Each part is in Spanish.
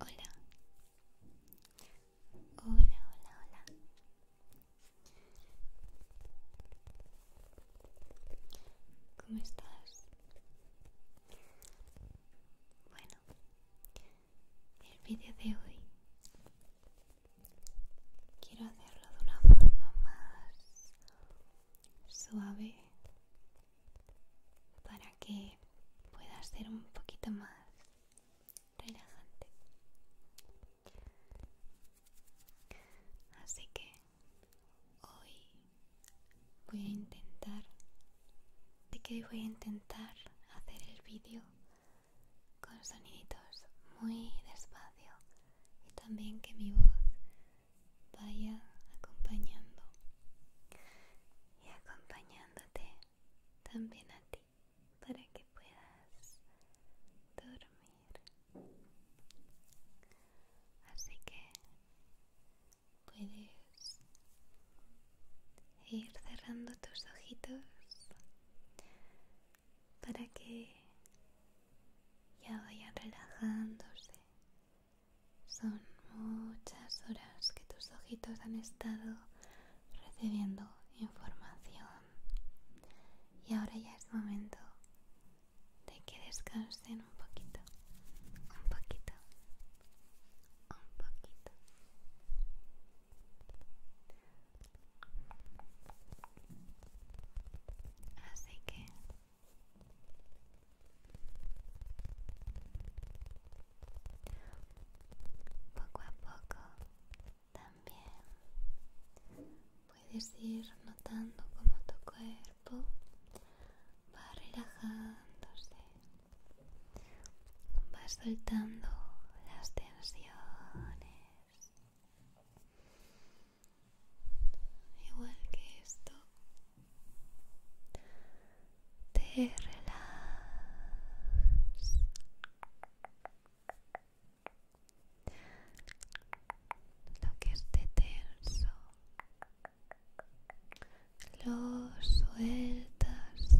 Hola. Hola, hola, hola. ¿Cómo estás? Bueno, el vídeo de hoy quiero hacerlo de una forma más suave para que pueda ser un poquito más relajante. Así que hoy voy a intentar, de que voy a intentar hacer el vídeo con soniditos muy despacio y también que mi voz vaya acompañando y acompañándote también a ti para que puedas dormir. Así que puedes ir cerrando tus ojitos para que ya vaya relajándose son muchas horas que tus ojitos han estado recibiendo información y ahora ya es momento de que descansen un poquito, un poquito, un poquito. Así que poco a poco también puedes ir notando cómo tu cuerpo va relajándose, va soltando las tensiones. Igual que esto te relajas lo que esté tenso lo sueltas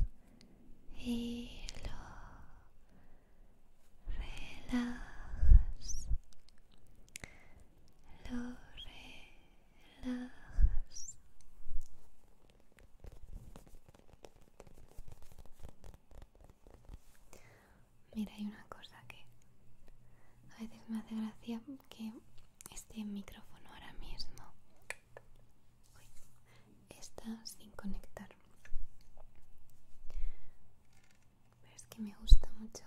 y lo relajas lo relajas mira hay una cosa que a veces me hace gracia que este micrófono ahora mismo está sin conectar pero es que me gusta mucho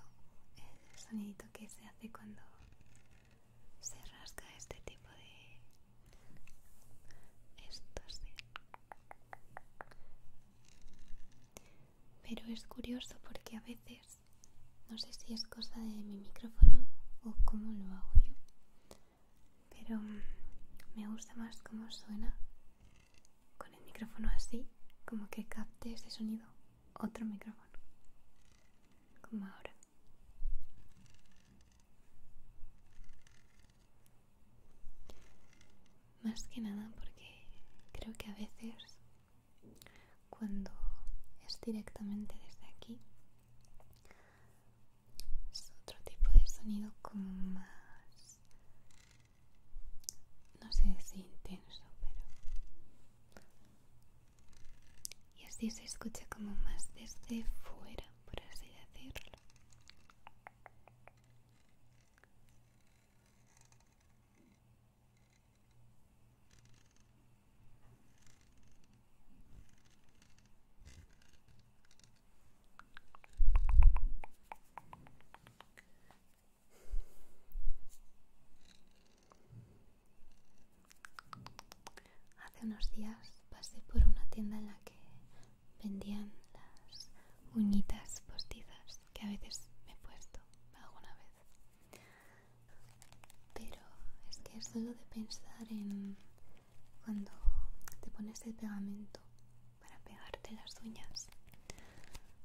el sonidito que se hace cuando se rasca este tipo de esto sí ¿eh? pero es curioso porque a veces no sé si es cosa de mi micrófono o cómo lo hago yo pero mm, me gusta más cómo suena con el micrófono así como que capte ese sonido otro micrófono, como ahora. Más que nada porque creo que a veces cuando es directamente desde aquí es otro tipo de sonido como más no sé si intenso pero y así se escucha como más desde fuera, por así decirlo. Hace unos días pasé por una tienda en la que vendían las uñitas postizas que a veces me he puesto alguna vez. Pero es que es solo de pensar en cuando te pones el pegamento para pegarte las uñas,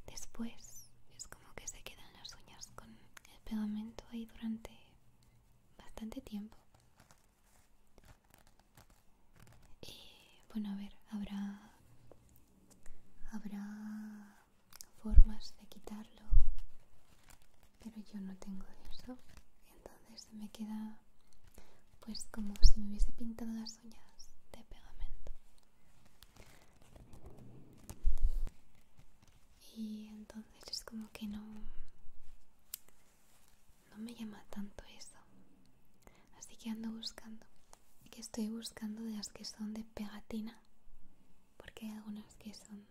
después es como que se quedan las uñas con el pegamento ahí durante bastante tiempo. y eh, bueno, a ver, habrá habrá formas de quitarlo, pero yo no tengo eso, entonces me queda pues como si me hubiese pintado las uñas de pegamento y entonces es como que no no me llama tanto eso así que ando buscando que estoy buscando de las que son de pegatina porque hay algunas que son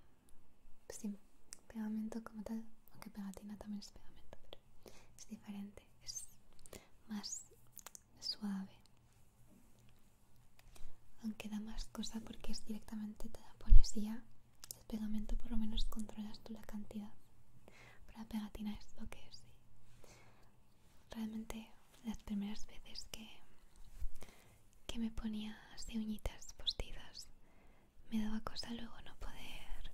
sin pues pegamento como tal aunque pegatina también es pegamento pero es diferente es más suave aunque da más cosa porque es directamente te la pones ya el pegamento por lo menos controlas tú la cantidad pero la pegatina es lo que es realmente las primeras veces que, que me ponía así uñitas postizas me daba cosa luego no poder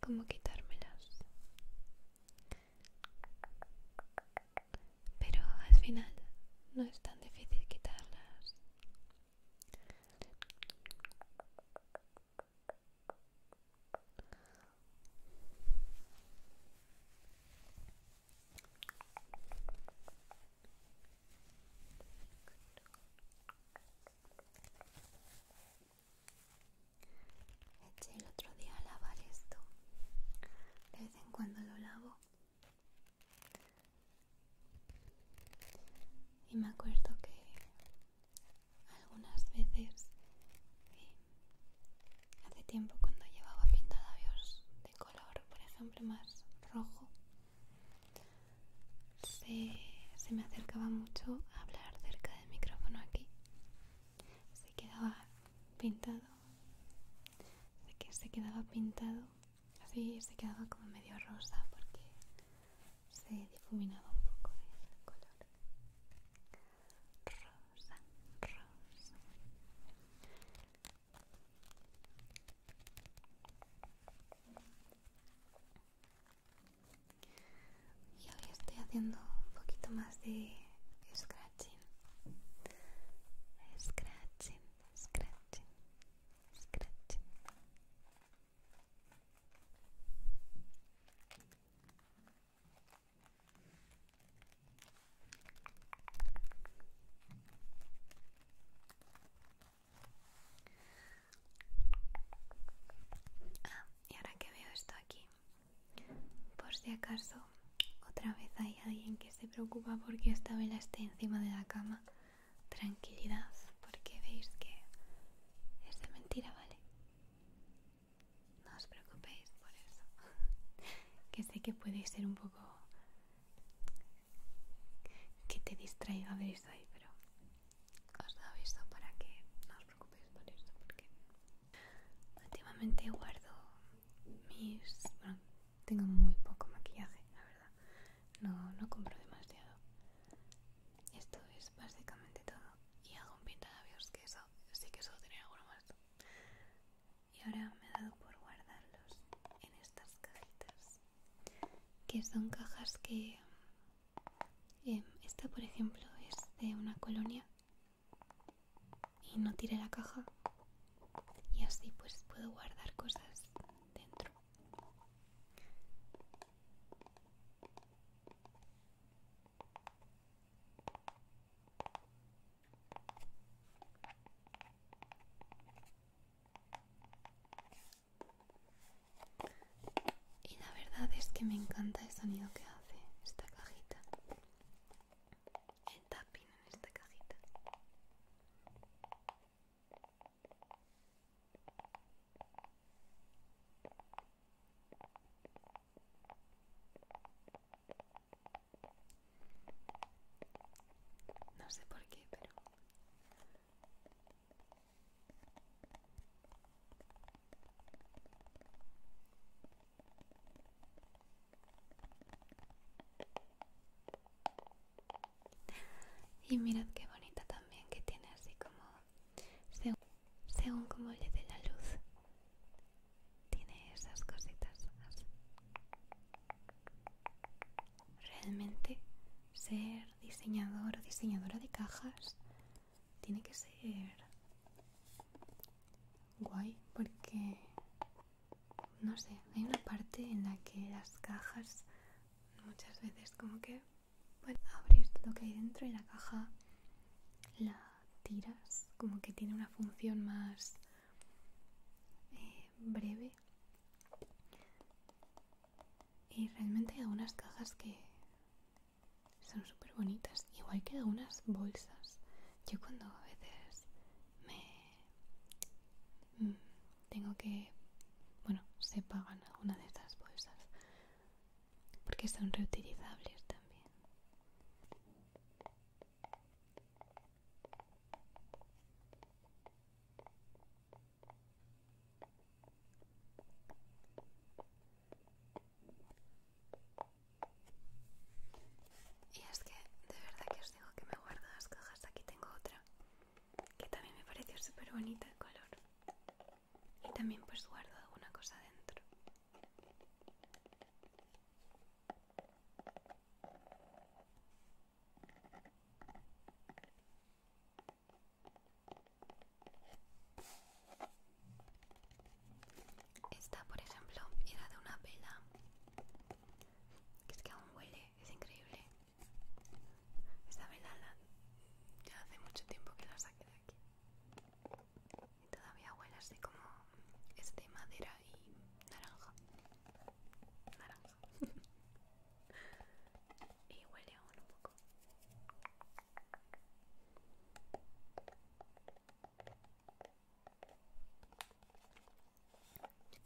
como quitármelas pero al final no es tan difícil quitarlas el otro día a lavar esto. De vez en cuando lo lavo y me acuerdo que algunas veces, eh, hace tiempo cuando llevaba pintadabios de color, por ejemplo más rojo, se, me acercaba mucho a hablar cerca del micrófono aquí. Se quedaba pintado, que se quedaba pintado Así se quedaba como medio rosa porque se difuminaba un poco el color. Rosa, rosa. Y ahora estoy haciendo un poquito más de scratching. Scratching, scratching, Ah, y ahora que veo esto aquí, por si acaso otra vez hay alguien que se preocupa porque esta vela esté encima de la cama, tranquilidad porque veis que es de mentira, ¿vale? No os preocupéis por eso. que sé que puede ser un poco que te distraiga ver esto ahí, pero os doy aviso para que no os preocupéis por eso porque últimamente guardo mis... Bueno, tengo muy poco maquillaje, la verdad. No, no compro demasiado. Esto es básicamente todo. Y hago un labios que eso sí que suelo tener alguno más. Y ahora me he dado por guardarlos en estas cajitas. Que son cajas que... Em, esta, por ejemplo, es de una colonia. Y no tire la caja. Y así pues puedo guardar cosas dentro. Y la verdad es que me encanta el sonido que hace esta cajita. El en esta cajita. No sé por qué, pero... Y mirad qué bonita también que tiene así como según, según como le dé la luz. Tiene esas cositas Realmente ser diseñador o diseñadora de cajas tiene que ser guay porque no sé, hay una parte en la que las cajas muchas veces como que bueno, abres lo que hay dentro y la caja la tiras, como que tiene una función más eh, breve. Y realmente hay algunas cajas que son súper bonitas, igual que algunas bolsas. Yo cuando a veces me Mm, tengo que bueno se pagan algunas de estas bolsas porque son reutilizables también y es que de verdad que os digo que me guardo las cajas aquí tengo otra que también me pareció súper bonita el color y también pues guardo alguna cosa dentro esta por ejemplo era de una vela que es que aún huele es increíble esta velada ya hace mucho tiempo que la saqué de aquí. Y todavía huele así como este madera y naranja. Naranja. y huele aún un poco.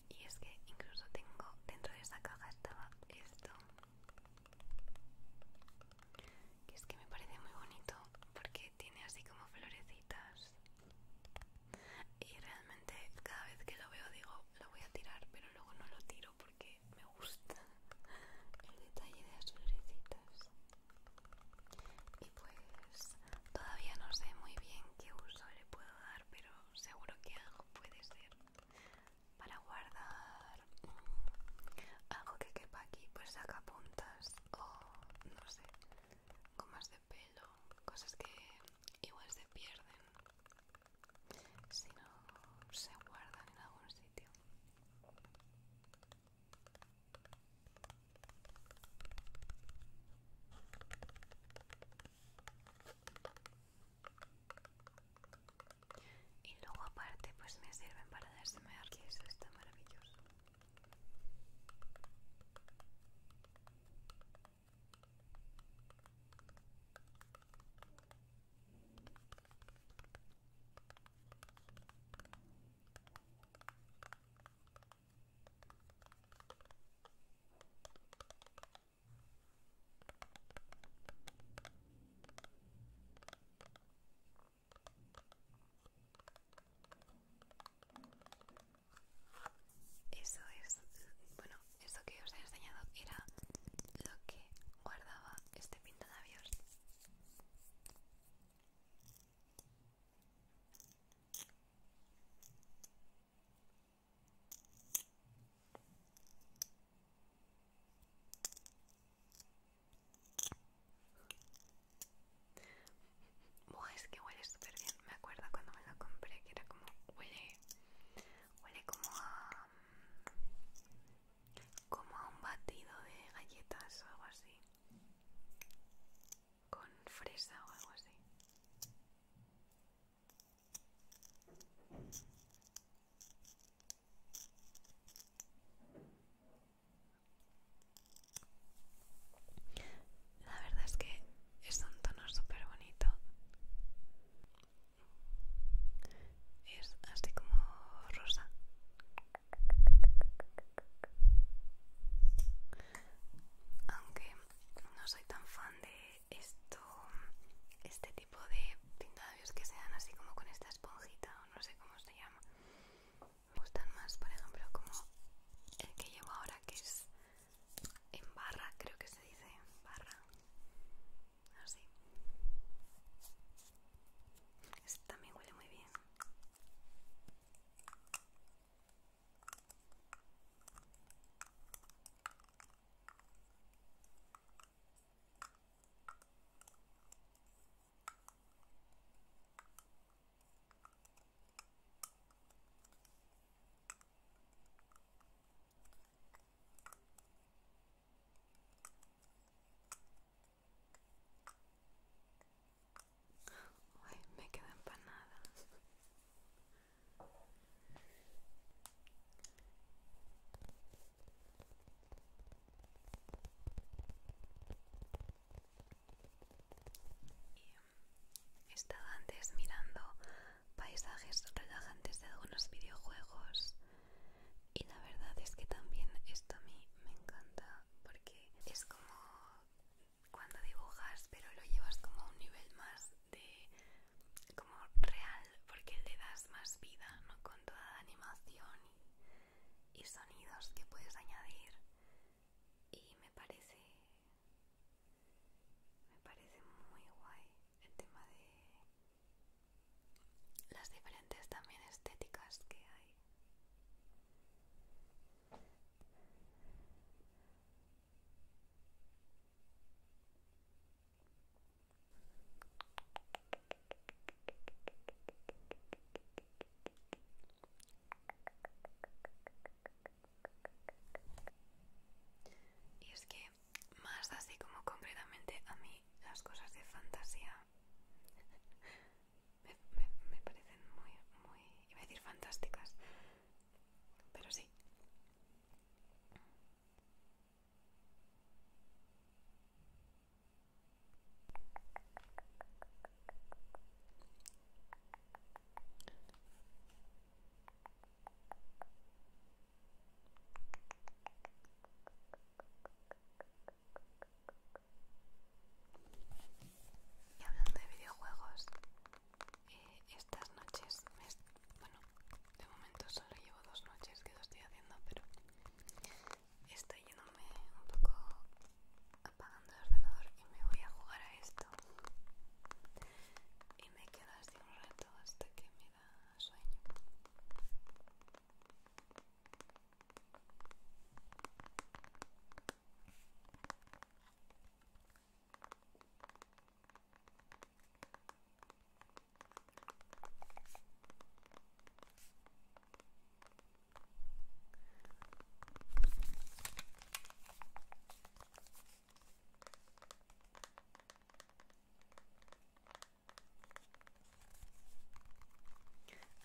Y es que incluso tengo dentro de esa caja estaba esto. Que es que me parece muy bonito porque tiene así como florecitas. Y realmente cada vez que lo veo digo, lo voy a tirar, pero luego no lo tiro porque me gusta el detalle de las florecitas. Y pues todavía no sé muy bien qué uso le puedo dar, pero seguro que algo puede ser para guardar algo que quepa aquí, pues sacapuntas o no sé, gomas de pelo, cosas que igual se pierden si no se guardan en algún sitio y luego aparte pues me sirven para desmayar, que eso está maravilloso eso es, bueno, eso que os he enseñado era lo que guardaba este pintanavios es que huele súper bien. Me acuerdo cuando me lo compré que era como huele, huele como a, como a un batido de galletas o algo así, con fresa o algo así. La verdad es que es un tono super bonito. Es así como rosa. Aunque no soy tan fan de esto, este tipo de pintadillos que se dan así como con esta esponjita o no sé cómo se llama. Me gustan más, por ejemplo, como el que llevo ahora que es en barra, creo que se dice en barra. Así. Este también huele muy bien. Ay, me queda empanada. He estado antes mirando paisajes relajantes de algunos videojuegos y la verdad es que también esto a mí me encanta porque es como cuando dibujas pero lo llevas como a un nivel más de como real porque le das más vida ¿no? con toda la animación y, y sonidos que puedes añadir y me parece me parece muy guay el tema de las diferentes también estéticas que hay y es que más así como concretamente a mí las cosas de fantasía me, parecen muy, muy, iba a decir fantásticas, pero sí. Y hablando de videojuegos, eh, estas noches, bueno, de momento solo llevo dos noches que lo estoy haciendo, pero estoy yéndome un poco apagando el ordenador y me voy a jugar a esto. Y me quedo así un rato hasta que me da sueño.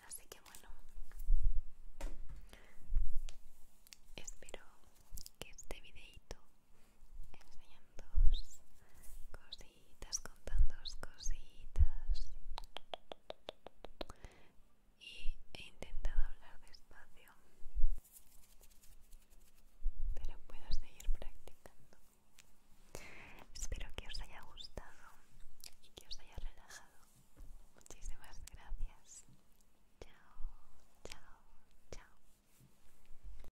Así que bueno, espero que este videito enseñando cositas, contando cositas y he intentado hablar despacio pero puedo seguir practicando espero que os haya gustado y que os haya relajado muchísimas gracias chao chao chao